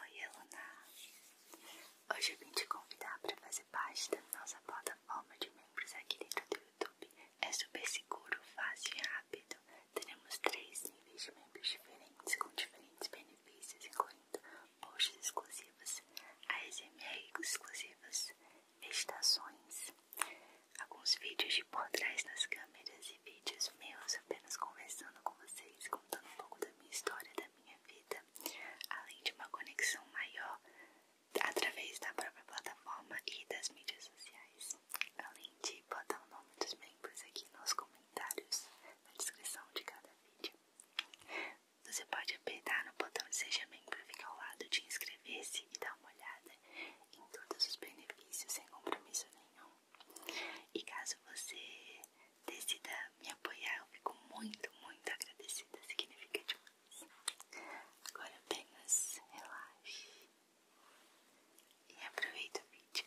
Oi, Eluna! Hoje eu vim te convidar para fazer parte da nossa plataforma de membros aqui dentro do YouTube. É super seguro, fácil e rápido. Teremos três níveis de membros diferentes com diferentes benefícios, incluindo posts exclusivos, ASMR exclusivas, meditações, alguns vídeos de por trás das câmeras e vídeos meus apenas conversando com vocês, contando um pouco da minha história, da minha vida, além de uma conexão maior através da própria plataforma e das mídias sociais, além de botar o nome dos membros aqui nos comentários, na descrição de cada vídeo. Você pode apertar no botão de Seja Membro, ficar ao lado de inscrever-se e dar uma olhada em todos os benefícios sem compromisso nenhum. E caso você decida me apoiar, eu fico muito, muito agradecida. Significa demais. Agora apenas relaxe e aproveita o vídeo.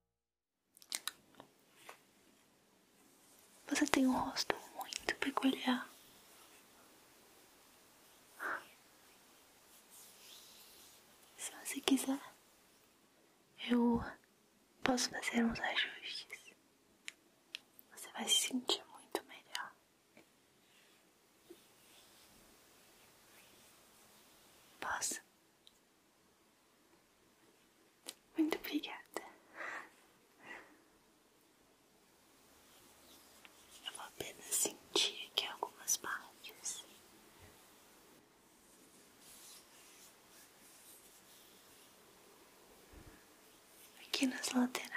Você tem um rosto muito peculiar. Se você quiser, eu posso fazer uns ajustes. Você vai se sentir muito melhor. Posso? Muito obrigada. Eu vou apenas sentir aqui algumas partes. Aqui nas laterais.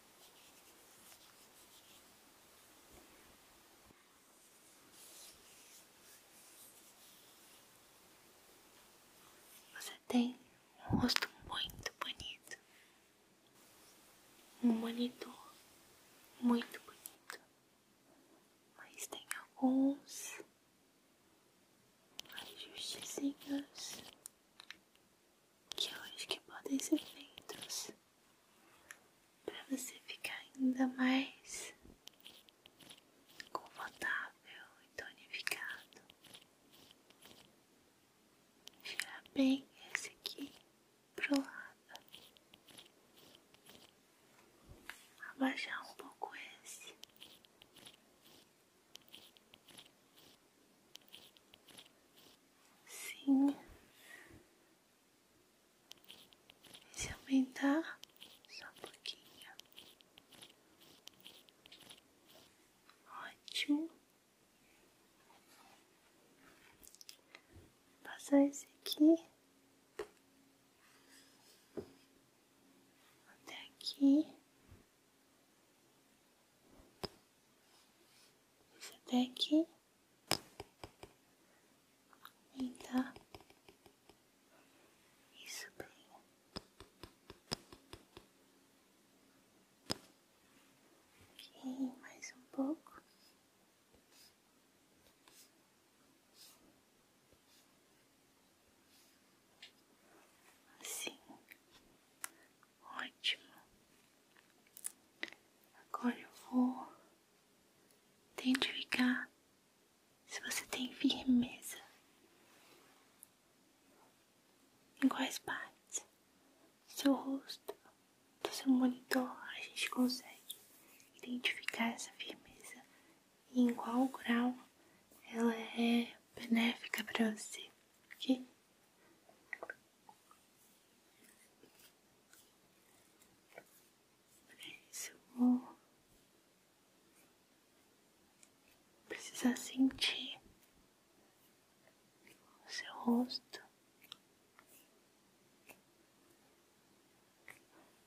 Você tem um rosto muito bonito, um monitor muito bonito, mas tem alguns ajustezinhos que hoje que podem ser feitos para você ficar ainda mais confortável e tonificado. Girar bem esse aqui pro lado. Abaixar um pouco esse. Sim. Deixa aumentar só pouquinho. Ótimo. Passar esse aqui. Até aqui. até aqui. Então, isso bem. Ok, mais um pouco. Assim, Ótimo. Agora eu vou identificar se você tem firmeza. Em quais partes? Seu rosto, do seu monitor, a gente consegue identificar essa firmeza e em qual grau ela é benéfica para você, ok? Isso, vou precisar sentir o seu rosto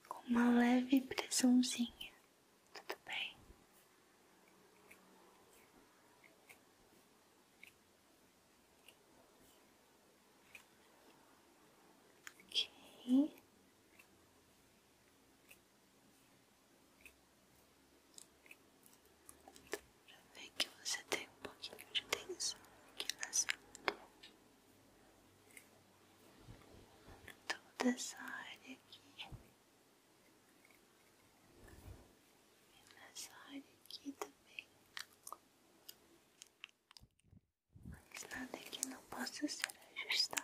com uma leve pressãozinha. Tudo bem. Ok. já ver que você tem um pouquinho de tensão aqui nessa Toda essa área aqui. E nessa área aqui também também. Mas nada aqui não possa ser ajustado.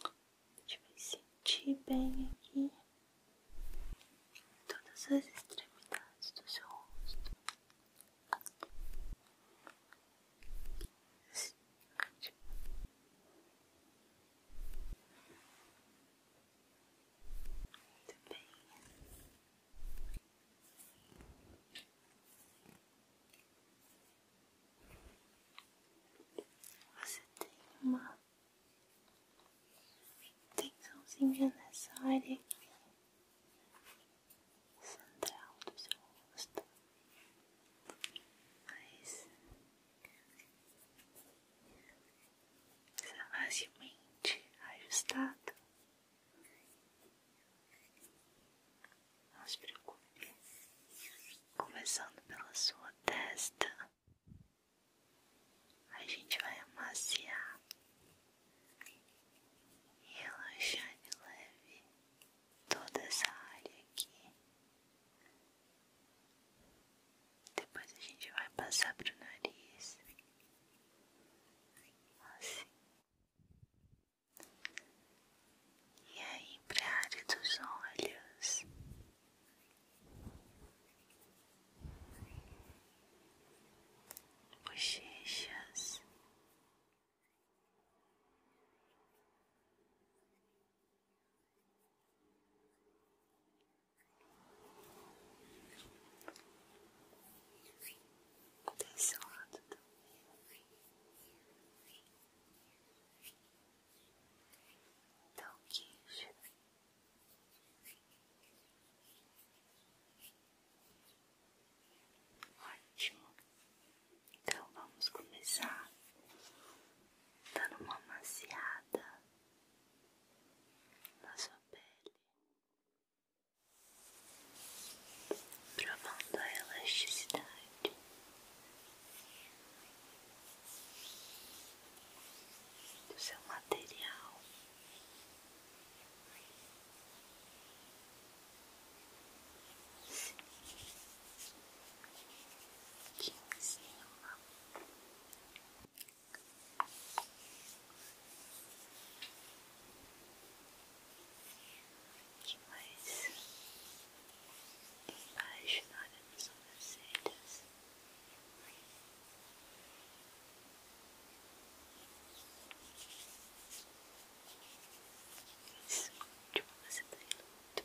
A gente vai sentir bem aqui todas as extremidades do seu rosto. Você tem uma tensãozinha nessa área aqui, central do seu rosto, mas savagamente ajustado. Não se preocupe, começando pela sua testa, a gente vai amaciar e relaxar de leve toda essa área aqui. Depois a gente vai passar pro nariz, assim e aí para a área dos olhos. Bochechas, desse lado então, queijo. Ótimo. Então, vamos começar dando uma maciada na sua pele provando a elasticidade. Do seu material, aqui que mais embaixo na área das sobrancelhas. Esse último você tá muito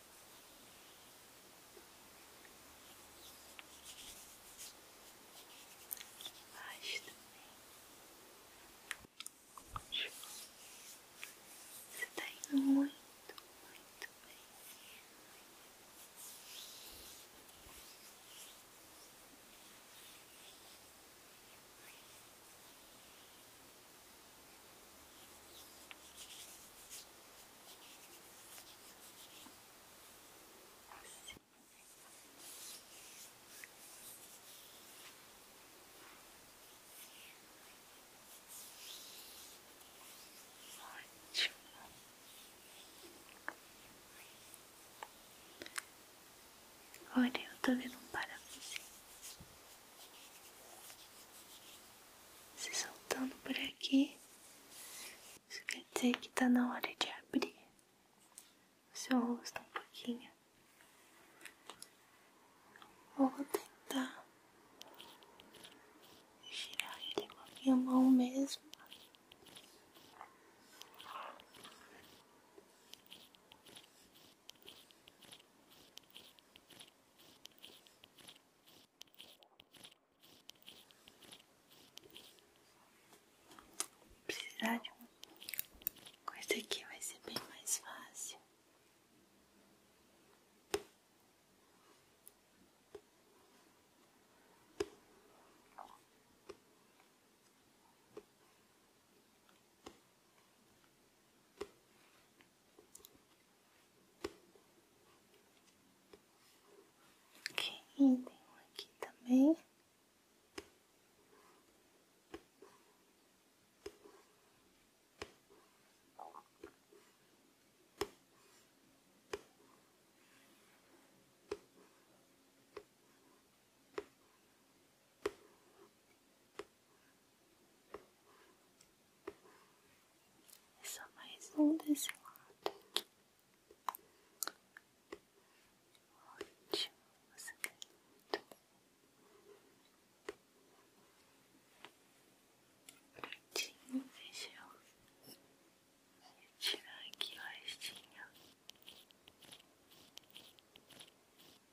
Mas também Você tá indo muito, Muito bem. Assim. Olha, eu tô vendo um para se soltando por aqui. Isso quer dizer que tá na hora de abrir o seu rosto um pouquinho. Eu vou tentar girar ele com a minha mão mesmo. Precisar coisa aqui vai ser bem mais fácil. Ok, tem aqui também. É só mais um desse lado. Ótimo, você quer, tá lindo. Prontinho, fechou. Vou tirar aqui o restinho.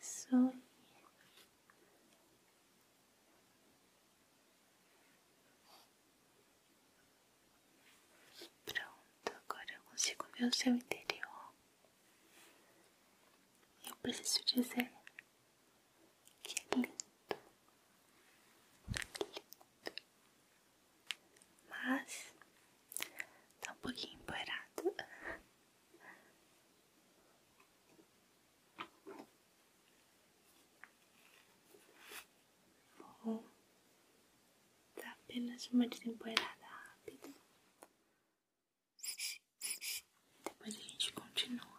Isso. Pronto, agora eu consigo ver o seu interior. Eu preciso dizer que é lindo. Lindo. Mas tá um pouquinho empoeirado. Vou dar tá apenas uma desempoeirada rápida. Depois a gente continua.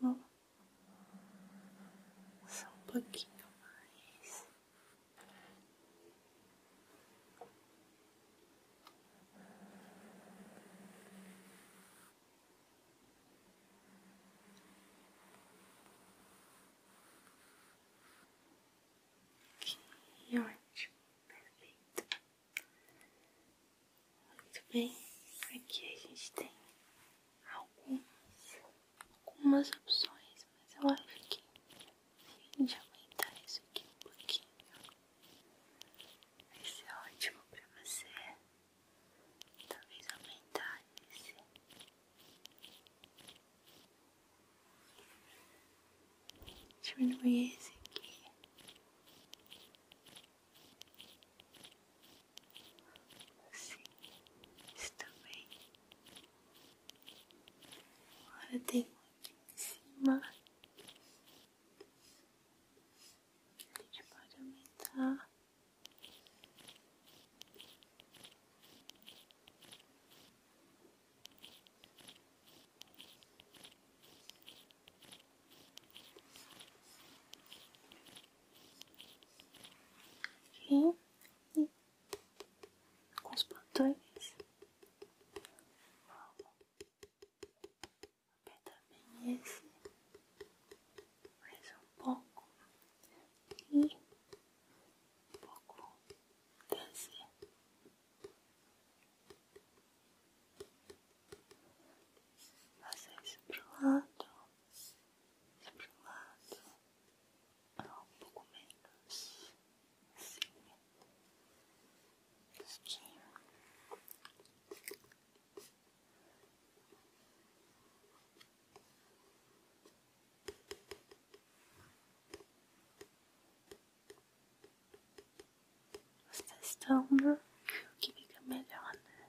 Ótimo. Só um pouquinho mais. Que ótimo, perfeito. Muito bem, aqui a gente tem algumas, algumas opções, mas eu acho que a gente aumentar isso aqui um pouquinho vai ser ótimo pra você. Talvez aumentar esse. Diminuir esse aqui. Sim, está bem. Agora tem muito em cima. A gente pode aumentar. E, e com os botões, aperta bem esse, mais um pouco e um pouco desse. Passa isso pro lado. Esse pro lado é um pouco menos assim, tosquinho. Vocês estão o que fica melhor, né?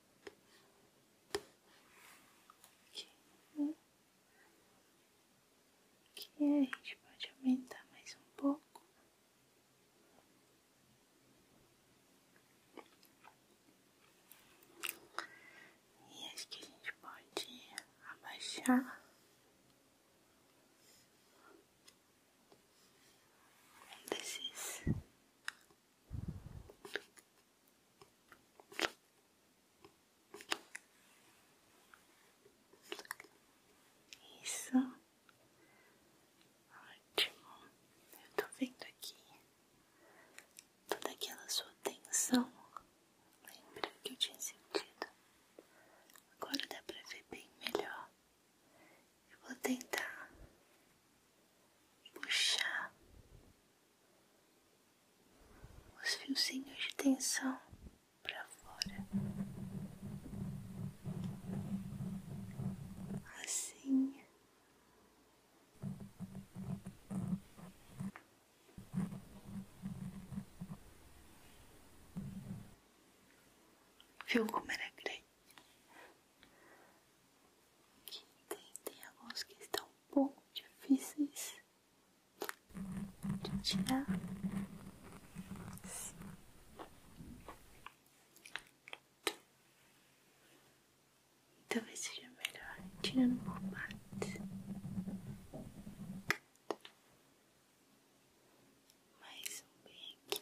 Aqui, aqui a gente pode aumentar mais um pouco. E acho que a gente pode abaixar. desses isso. Ótimo. Eu tô vendo aqui toda aquela sua tensão. Lembra que eu tinha sentido? Agora dá pra ver bem melhor. Eu vou tentar puxar os fiozinhos de tensão para fora. Assim. Viu como era grande? Aqui tem, tem alguns que estão pouco difíceis de tirar. Sim. Talvez seja melhor tirando por partes. Mais um bem aqui.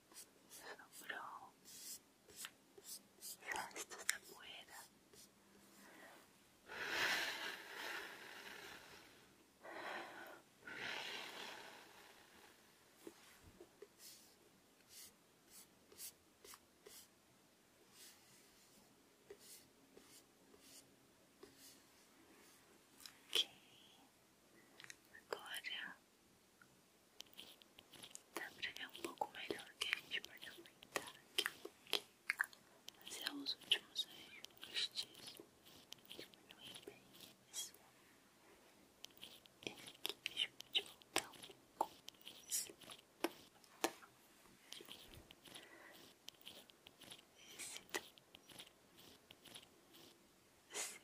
Bro, esto está fuera. Okay. ahora Dá pra ver um pouco melhor que a gente pode aumentar aqui um pouquinho. Mas é os últimos ajustes. Diminuir bem isso. Esse aqui deixa eu te voltar um pouco. Esse, esse então. Sim.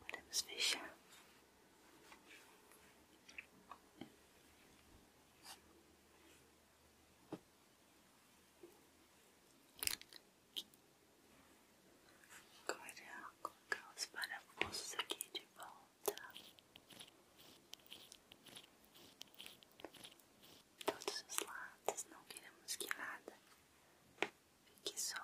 Podemos fechar. Agora colocar os parafusos aqui de volta todos os lados, não queremos que nada fique solto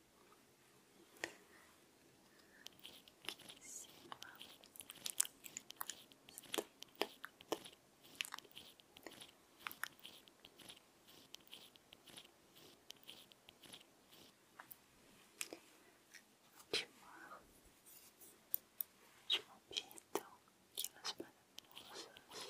tu tu Última pista que elas maravilhosas.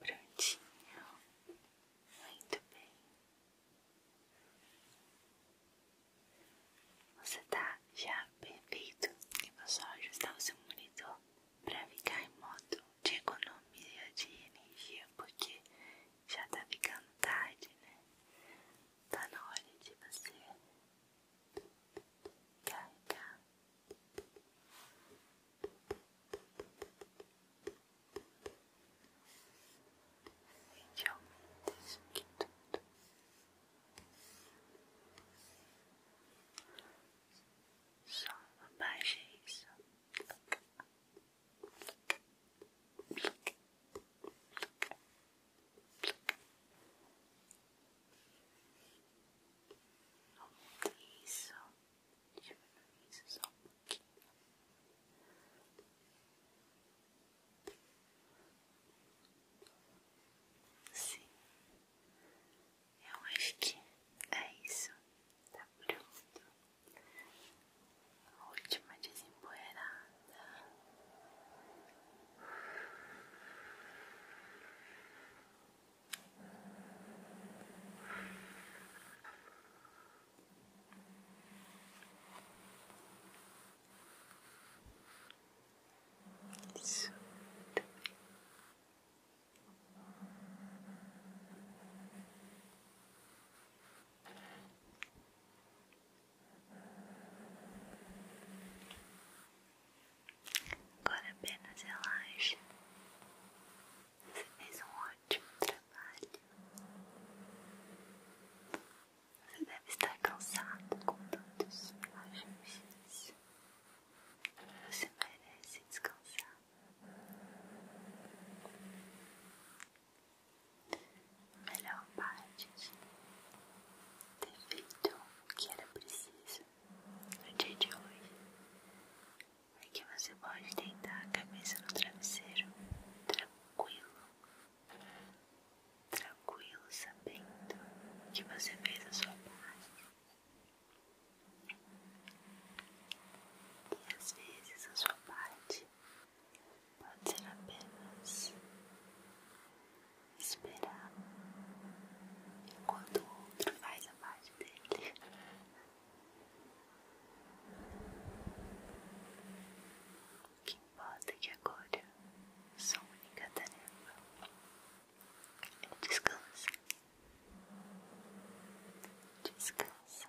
Prontinho. Muito bem. Você tá já perfeito. Eu vou só ajustar o seu monitor para ficar em modo de economia de energia, porque já tá ficando tarde, né? Tá na hora de você carregar Gente, aumenta é isso aqui tudo. Só abaixa isso. isso diminuir isso só um pouquinho. Sim, eu acho que é isso. Tá pronto. última desempoeirada. Agora apenas relaxa você fez um ótimo trabalho. Você deve estar cansado com tantos ajustes. Você merece descansar. A melhor parte é de ter feito o que era preciso no dia de hoje é que você pode tentar a cabeça no travesseiro tranquilo, tranquilo, sabendo que você fez a sua parte. E às vezes a sua parte pode ser apenas esperar enquanto o outro faz a parte dele. O que importa é que agora sua única tarefa é descansar. Descansa.